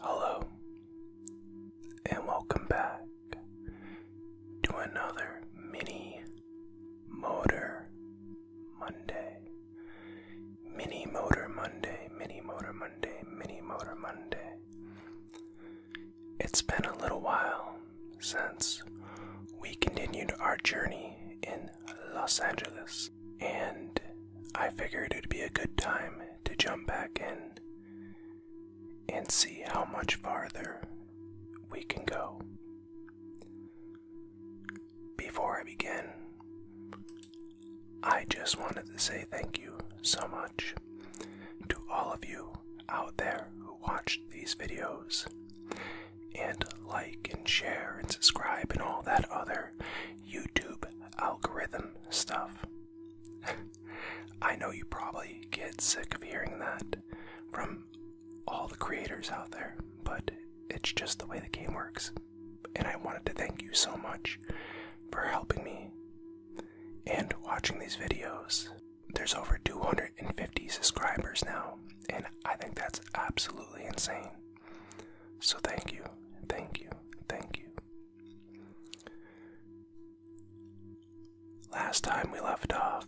Hello, and welcome back to another mini motor Monday. Mini motor Monday, mini motor Monday, mini motor Monday. It's been a little while since we continued our journey in Los Angeles and I figured it'd be a good time to jump back in and see how much farther we can go. Before I begin, I just wanted to say thank you so much to all of you out there who watched these videos and like and share and subscribe and all that other YouTube algorithm stuff. I know you probably get sick of hearing that from all the creators out there, but it's just the way the game works. And I wanted to thank you so much for helping me and watching these videos. There's over 250 subscribers now, and I think that's absolutely insane. So thank you, thank you, thank you. Last time we left off,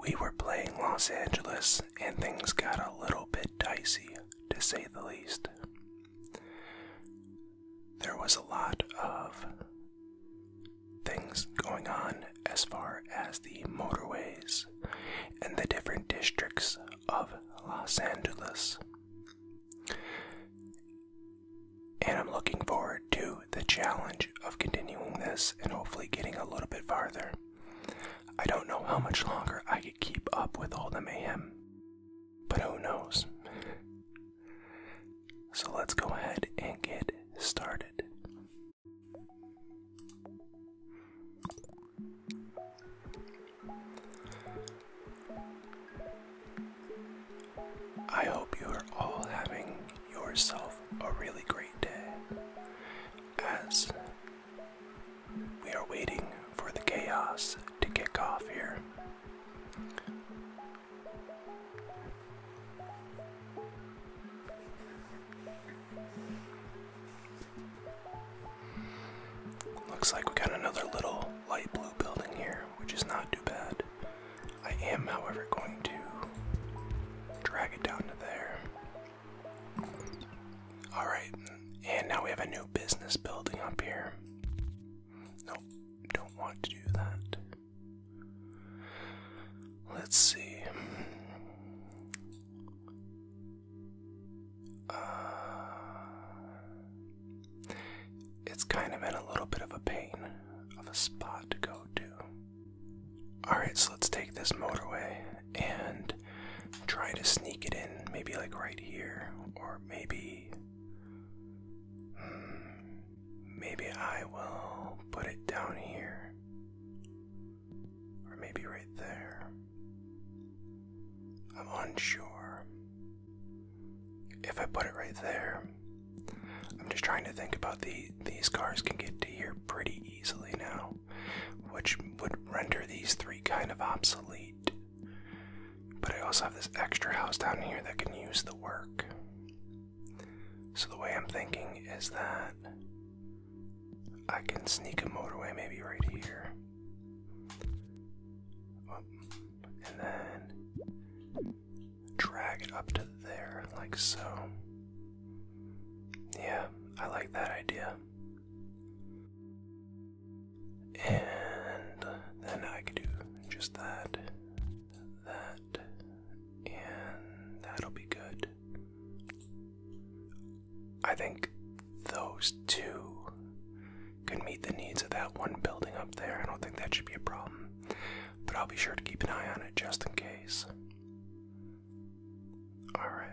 we were playing Los Angeles and things got a little bit dicey, to say the least. There was a lot of things going on as far as the motorways and the different districts of Los Angeles. And I'm looking forward to the challenge of continuing this and hopefully getting a little bit farther. I don't know how much longer I could keep up with all the mayhem, but who knows? so let's go ahead and get started. I hope you are all having yourself a really great day as we are waiting for the chaos to kick off here. Looks like we got another little light blue building here, which is not too bad. I am, however, going to drag it down to there. Alright, and now we have a new business building up here. Nope, don't want to do that. Let's see it's kind of in a little bit of a pain of a spot to go to. Alright, so let's take this motorway and try to sneak it in, maybe like right here, or maybe. Hmm, maybe I will put it down here. Or maybe right there. I'm unsure. If I put it right there, I'm just trying to think about the these cars can get to here pretty easily now, which would render these three kind of obsolete. But I also have this extra house down here that can use the work. So the way I'm thinking is that I can sneak a motorway maybe right here. And then drag it up to there, like so. Yeah, I like that idea. And then I could do just that, that, and that'll be good. I think those two could meet the needs of that one building up there. I don't think that should be a problem. But I'll be sure to keep an eye on it just in case. Alright.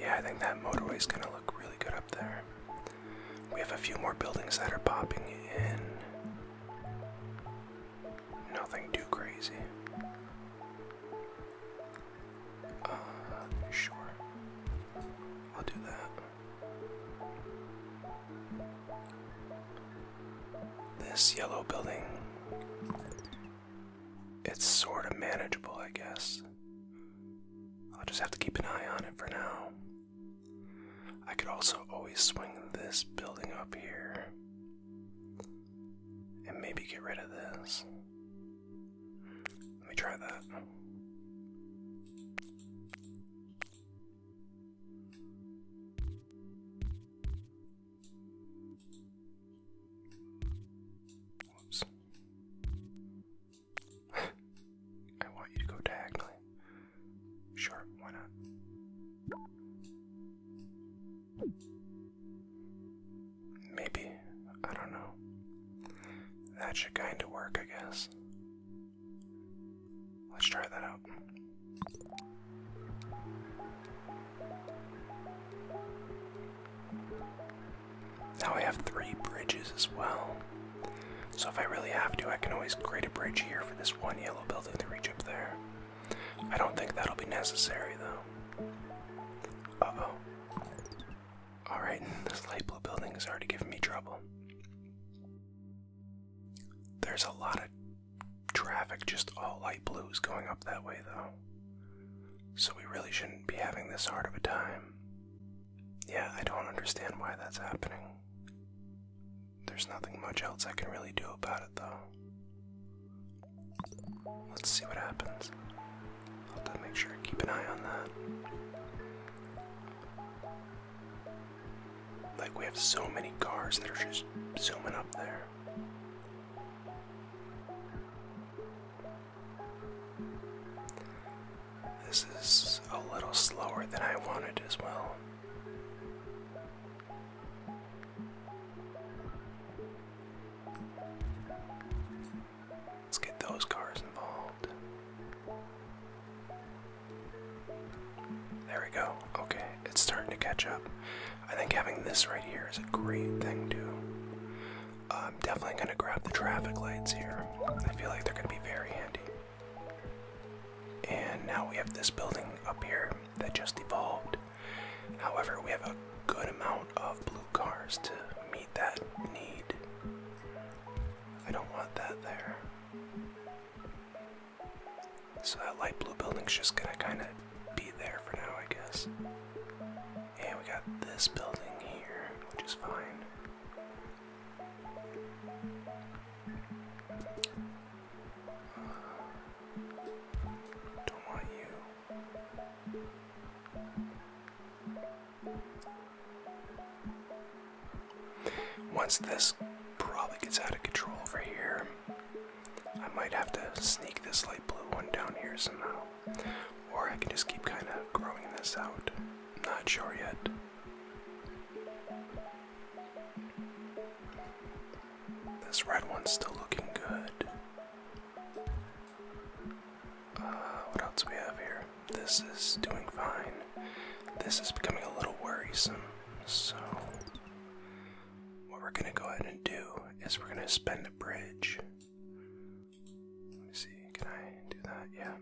Yeah, I think that motorway is going to look really good up there. We have a few more buildings that are popping in. Nothing too crazy. Uh, sure. I'll do that. This yellow building. It's sort of manageable, I guess. I'll just have to keep an eye on it for now. I could also always swing this building up here. And maybe get rid of this. Let me try that. Whoops. I want you to go diagonally. Sure, why not? Maybe. I don't know. That should kind of work, I guess. Let's try that out. Now I have three bridges as well. So if I really have to, I can always create a bridge here for this one yellow building to reach up there. I don't think that'll be necessary though. oh. Alright, this light blue building is already giving me trouble. There's a lot of traffic, just all light blues going up that way though. So we really shouldn't be having this hard of a time. Yeah, I don't understand why that's happening. There's nothing much else I can really do about it, though. Let's see what happens. I'll have to make sure to keep an eye on that. Like, we have so many cars that are just zooming up there. This is a little slower than I wanted as well. Let's get those cars involved. There we go. Okay, it's starting to catch up. I think having this right here is a great thing, too. I'm definitely going to grab the traffic lights here. I feel like they're going to be very handy. And now we have this building up here that just evolved. However, we have a good amount of blue cars to meet that need. I don't want that there. So that light blue building's just gonna kinda be there for now, I guess. And we got this building here, which is fine. Once this probably gets out of control over here, I might have to sneak this light blue one down here somehow. Or I can just keep kind of growing this out. Not sure yet. This red one's still looking good. Uh, what else we have here? This is doing fine. This is becoming a little worrisome. So, what we're gonna go ahead and do is we're gonna spend a bridge. Let me see, can I do that? Yeah.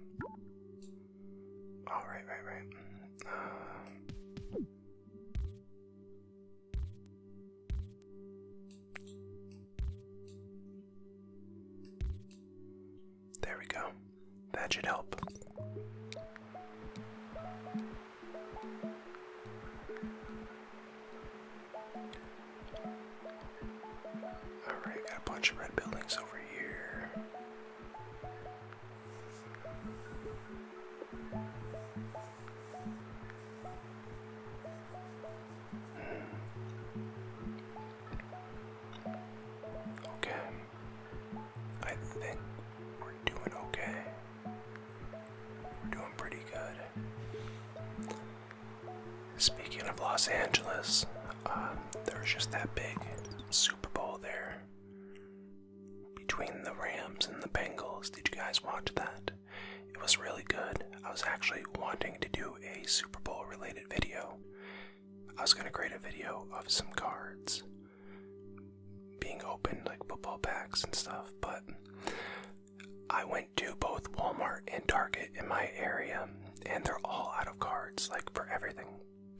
All right, right, uh, there we go. That should help. Alright, got a bunch of red buildings over here. Okay. I think we're doing okay. We're doing pretty good. Speaking of Los Angeles, um, there was just that big Super Bowl there between the Rams and the Bengals. Did you guys watch that? It was really good. I was actually wanting to do a Super Bowl related video. I was going to create a video of some cards being opened, like football packs and stuff, but I went to both Walmart and Target in my area, and they're all out of cards, like for everything,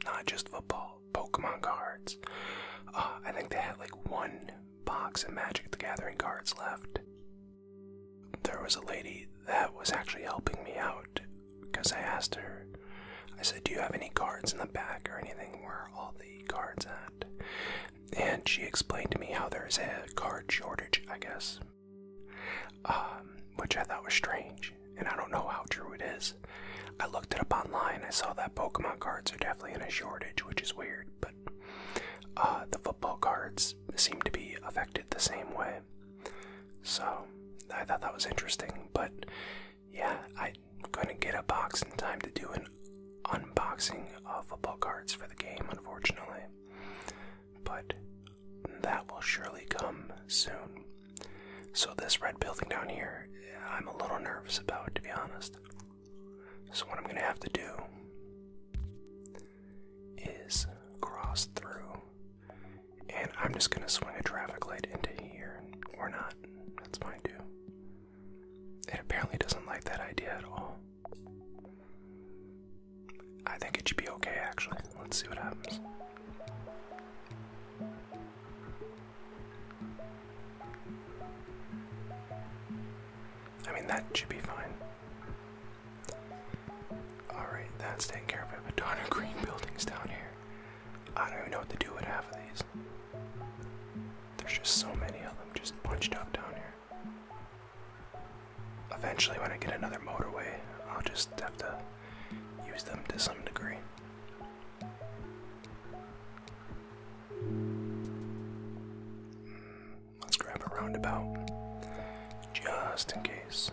not just football. Pokemon cards. Uh, I think they had like one box of Magic the Gathering cards left. There was a lady that was actually helping me out because I asked her, I said, Do you have any cards in the back or anything where all the cards at? And she explained to me how there's a card shortage, I guess, um, which I thought was strange, and I don't know how true it is. I looked it up online. I saw that Pokemon cards are definitely in a shortage, which is weird, but uh, the football cards seem to be affected the same way. So I thought that was interesting, but yeah, I couldn't get a box in time to do an unboxing of football cards for the game, unfortunately. But that will surely come soon. So, this red building down here, I'm a little nervous about, to be honest. So, what I'm going to have to do is cross through, and I'm just going to swing a traffic light into here, or not. That's fine too. It apparently doesn't like that idea at all. I think it should be okay, actually. Let's see what happens. I mean, that should be fine. Alright, that's taken care of. I have ton of green buildings down here. I don't even know what to do with half of these. There's just so many of them just bunched up down here. Eventually, when I get another motorway, I'll just have to use them to some degree. Mm, let's grab a roundabout just in case.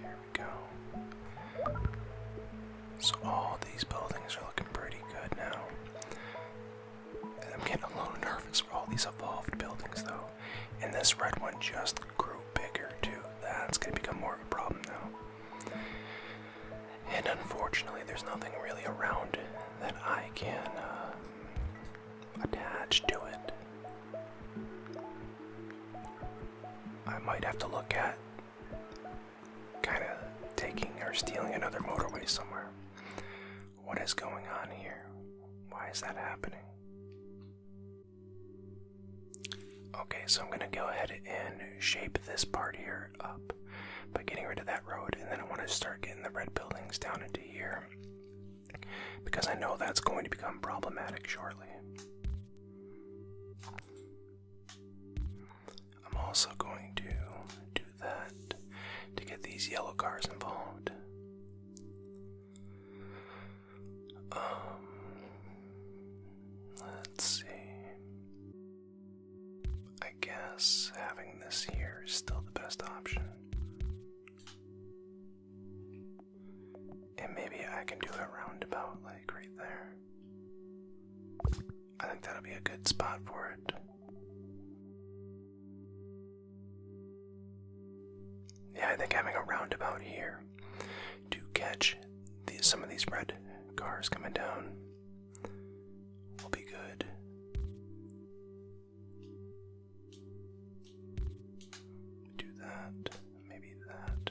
Here we go. So all these buildings are looking pretty good now. I'm getting a little nervous for all these evolved buildings, though. And this red one just grew bigger, too. That's gonna become more of a problem now. And unfortunately, there's nothing really around that I can uh, attach to it. I might have to look at kind of taking or stealing another motorway somewhere. What is going on here? Why is that happening? Okay, so I'm gonna go ahead and shape this part here up by getting rid of that road, and then I want to start getting the red buildings down into here because I know that's going to become problematic shortly. I'm also going to do that to get these yellow cars involved. Um, let's see. I guess having this here is still the best option. And maybe I can do a roundabout like right there. I think that'll be a good spot for it. Yeah, I think having a roundabout here to catch some of these red cars coming down will be good. Do that, maybe that.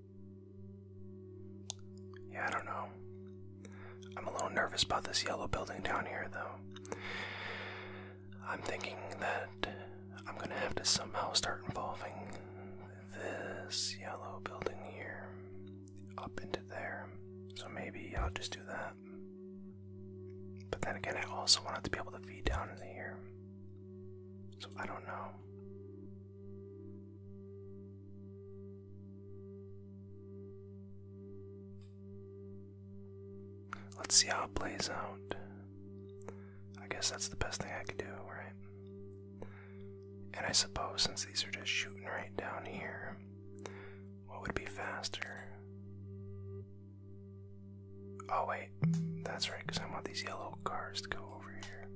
Yeah, I don't know. I'm a little nervous about this yellow building down here, though. I'm thinking that I'm gonna have to somehow start involving this yellow building here up into there. So maybe I'll just do that. But then again, I also wanted to be able to feed down in here. So I don't know. Let's see how it plays out. I guess that's the best thing I could do, right? And I suppose since these are just shooting right down here, what would be faster? Oh, wait, that's right, because I want these yellow cars to go over here.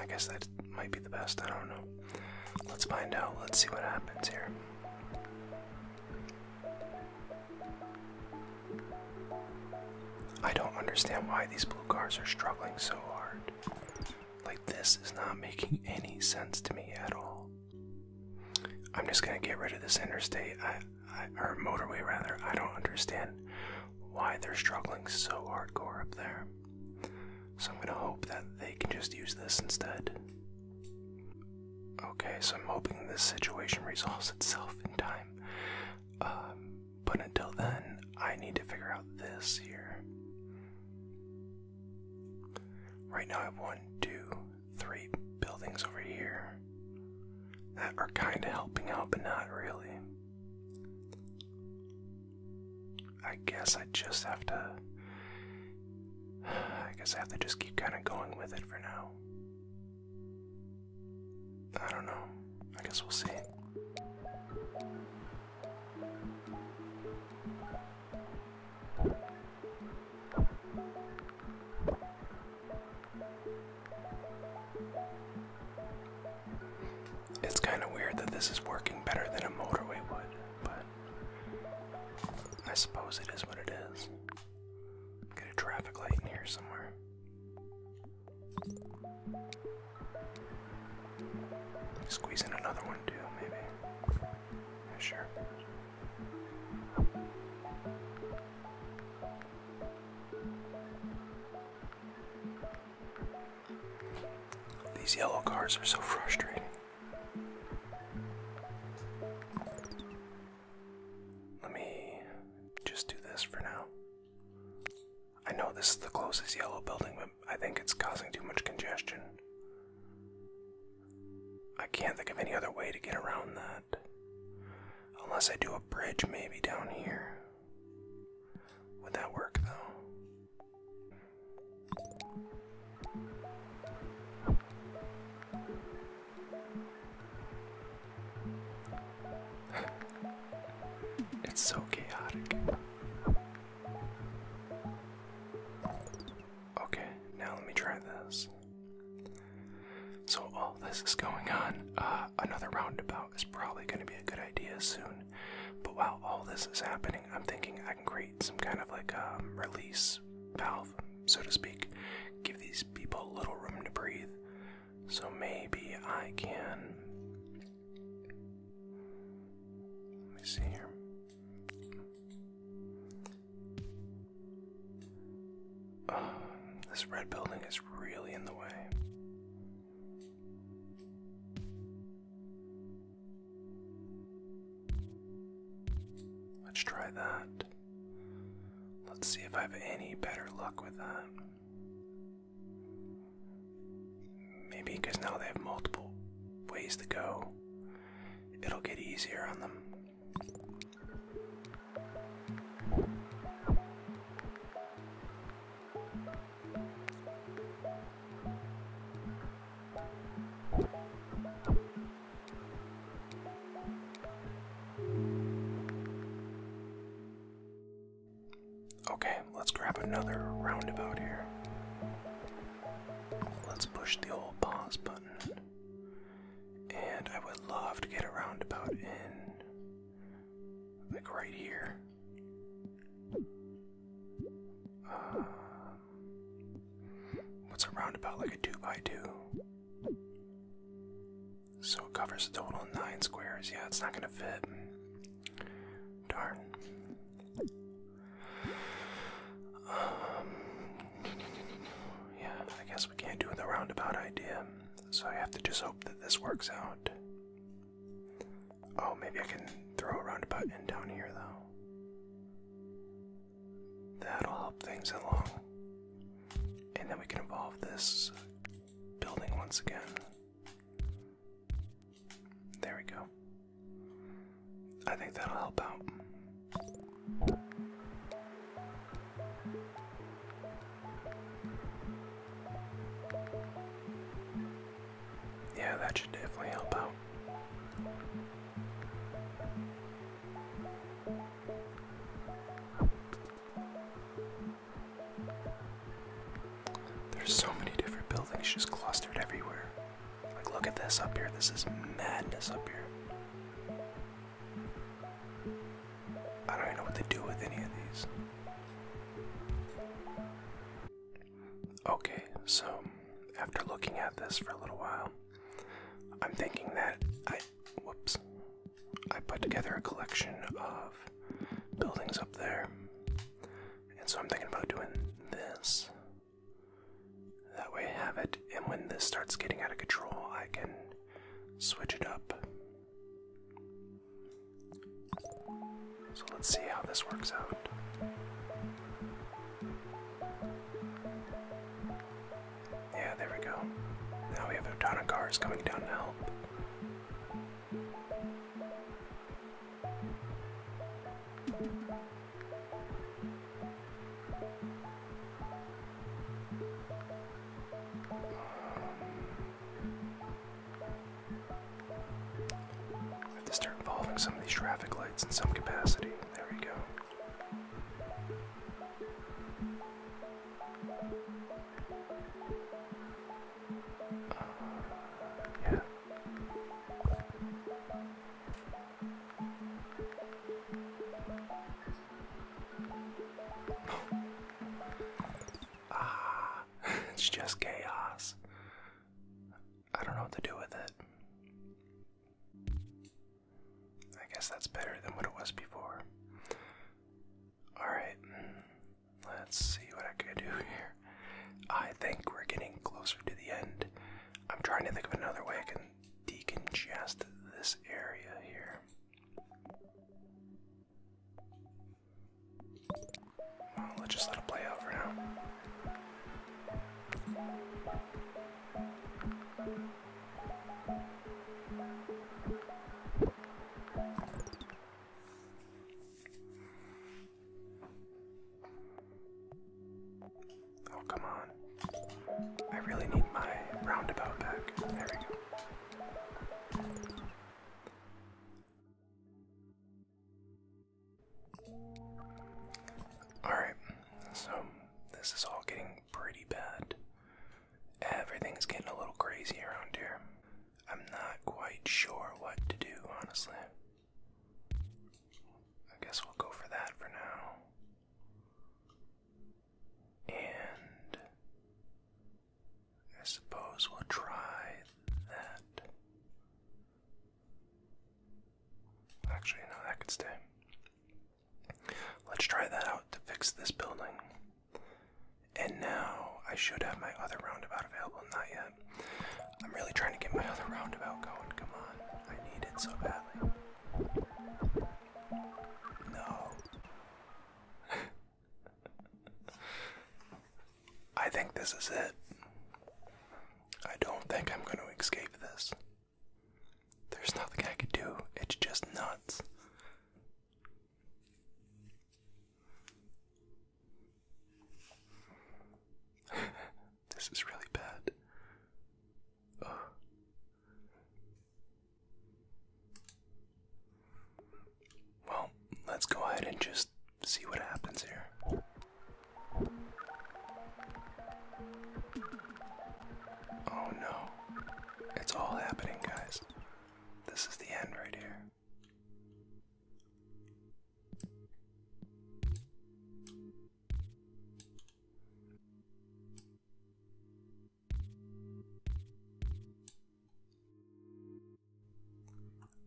I guess that might be the best. I don't know. Let's find out. Let's see what happens here. I don't understand why these blue cars are struggling so hard. Like, this is not making any sense to me at all. I'm just gonna get rid of this interstate, I, or motorway rather. I don't understand why they're struggling so hardcore up there. So I'm gonna hope that they can just use this instead. Okay, so I'm hoping this situation resolves itself in time. Um, but until then, I need to figure out this here. Right now I have one, two, three buildings over here that are kind of helping out, but not really. I guess I just have to. I guess I have to just keep kind of going with it for now. I don't know. I guess we'll see. It's kind of weird that this is working better than a motorway would, but I suppose it is what it is. Get a traffic light in here somewhere. Squeeze in another one too, maybe. sure. These yellow cars are so frustrating. Let me just do this for now. I know this is the closest yellow building, but I think it's causing too much congestion. I can't think of any other way to get around that. Unless I do a bridge, maybe down here. Would that work, though? it's so chaotic. Okay, now let me try this. So, all this is going on, uh, another roundabout is probably going to be a good idea soon. But while all this is happening, I'm thinking I can create some kind of like a um, release valve, so to speak. Give these people a little room to breathe. So maybe I can let me see here. this red building is really in the way. Let's try that. Let's see if I have any better luck with that. Maybe because now they have multiple ways to go, it'll get easier on them. Okay, let's grab another roundabout here. Let's push the old pause button. And I would love to get a roundabout in, like right here. Uh, what's a roundabout? Like a 2 by 2 So it covers a total of 9 squares. Yeah, it's not going to fit. Darn yeah, I guess we can't do the roundabout idea, so I have to just hope that this works out. Oh, maybe I can throw a roundabout in down here, though. That'll help things along. And then we can evolve this building once again. There we go. I think that'll help out. Yeah, that should definitely help out. There's so many different buildings just clustered everywhere. Like, look at this up here. This is madness up here. I don't even know what to do with any of these. Okay, so after looking at this for a little while, I'm thinking that I. Whoops. I put together a collection of buildings up there and so I'm thinking about doing this. That way have it, and when this starts getting out of control, I can switch it up. So let's see how this works out. Yeah, there we go. Now we have a ton of cars coming down to help. I have to start involving some of these traffic lights in some capacity. There we go. Uh, yeah. ah, it's just chaos. I don't know what to do with it. I guess that's better than what it was before. Alright, Let's see what I can do here. I think we're getting closer to the end. I'm trying to think of another way I can deconstruct this area here. let's just let it play out for now. Oh, come on. I really need my roundabout back. There we go. Alright, so this is all getting pretty bad. Everything's getting a little crazy around here. I'm not quite sure what to do, honestly. I guess we'll go for that for now. And I suppose we'll try that. Actually, no, that could stay. Let's try that out to fix this building. And now I should have my other roundabout available, not yet. I'm really trying to get my other roundabout going. Come on, I need it so badly. No. I think this is it. I don't think I'm going to escape this. There's nothing I could do, it's just nuts this is really bad. Ugh. Well, let's go ahead and just see what happens here. Oh no. It's all happening, guys. This is the end right here.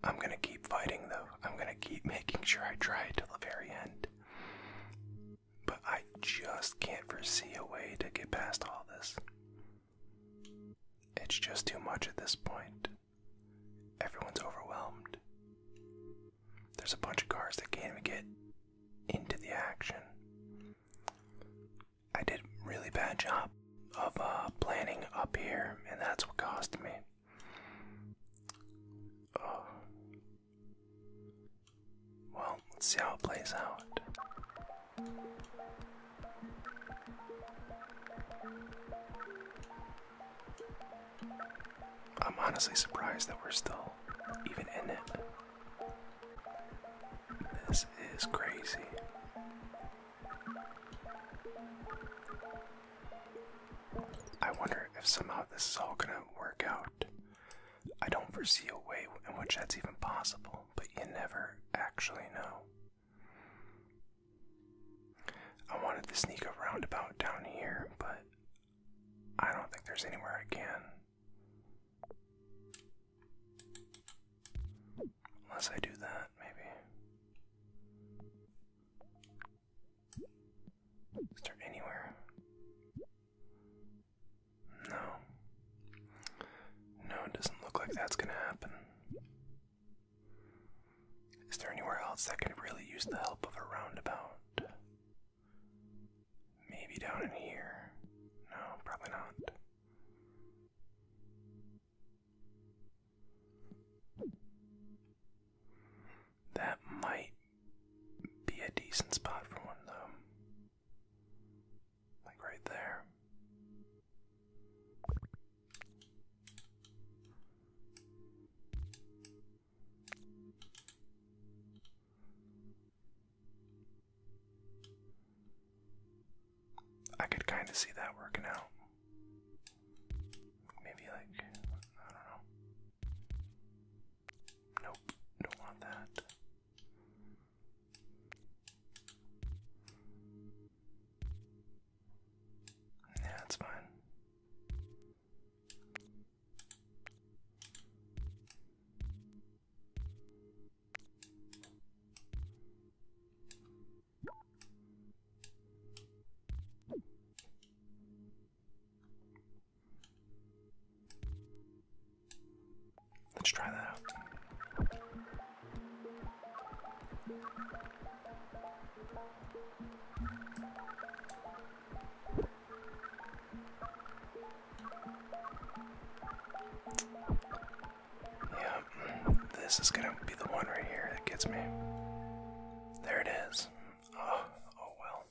I'm gonna keep fighting though. I'm gonna keep making sure I try till the very end. But I just can't foresee a way to get past all this. It's just too much at this point. Everyone's overwhelmed. There's a bunch of cars that can't even get into the action. I did a really bad job of uh, planning up here, and that's what cost me. Uh, well, let's see how it plays out. I'm honestly surprised that we're still even in it. This is crazy. I wonder if somehow this is all gonna work out. I don't foresee a way in which that's even possible, but you never actually know. I wanted to sneak a roundabout down here, but I don't think there's anywhere I can. Unless I do that, maybe. Is there anywhere? No. No, it doesn't look like that's gonna happen. Is there anywhere else that could really use the help of a roundabout? Maybe down in here. No, probably not. That might be a decent spot for one, though. Like right there. I could kind of see that working out. Maybe, like, I don't know. Nope, don't want that. Yeah, it's fine. Let's try that out. Yep, this is gonna be the one right here that gets me. There it is. Oh, oh well.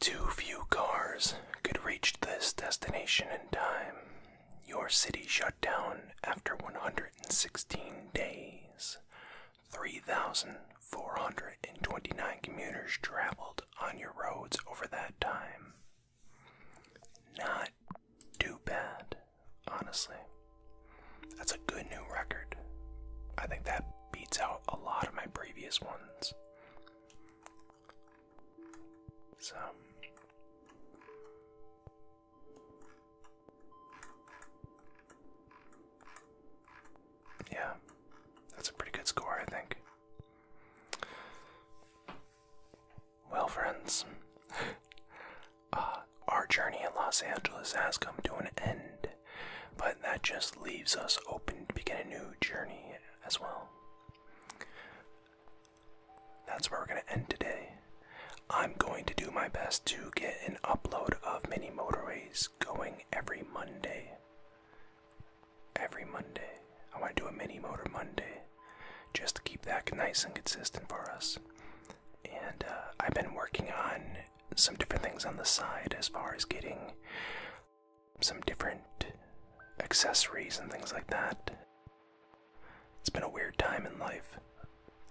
Too few cars could reach this destination in time. Your city shut down after 116 days. 3,429 commuters traveled on your roads over that time. Not too bad, honestly. That's a good new record. I think that beats out a lot of my previous ones. So, yeah, that's a pretty good score, I think. Well, friends, uh, our journey in Los Angeles has come to an end, but that just leaves us open to begin a new journey as well. That's where we're going to end today. I'm going to do my best to get an upload of Mini Motorways going every Monday. Every Monday. I want to do a Mini Motor Monday just to keep that nice and consistent for us. And uh, I've been working on some different things on the side as far as getting some different accessories and things like that. It's been a weird time in life.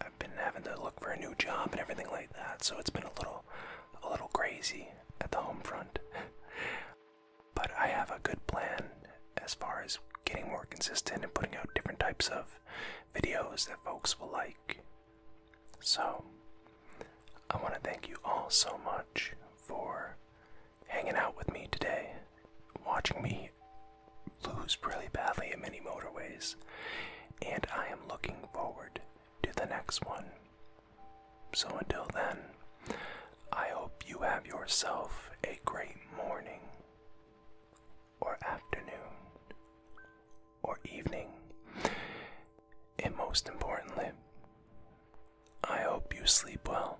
I've been having to look for a new job and everything like that, so it's been a little a little crazy at the home front. but I have a good plan as far as getting more consistent and putting out different types of videos that folks will like. So, I want to thank you all so much for hanging out with me today watching me lose really badly in many motorways, and I am looking forward to the next one. So until then, I hope you have yourself a great morning, or afternoon, or evening, and most importantly, I hope you sleep well.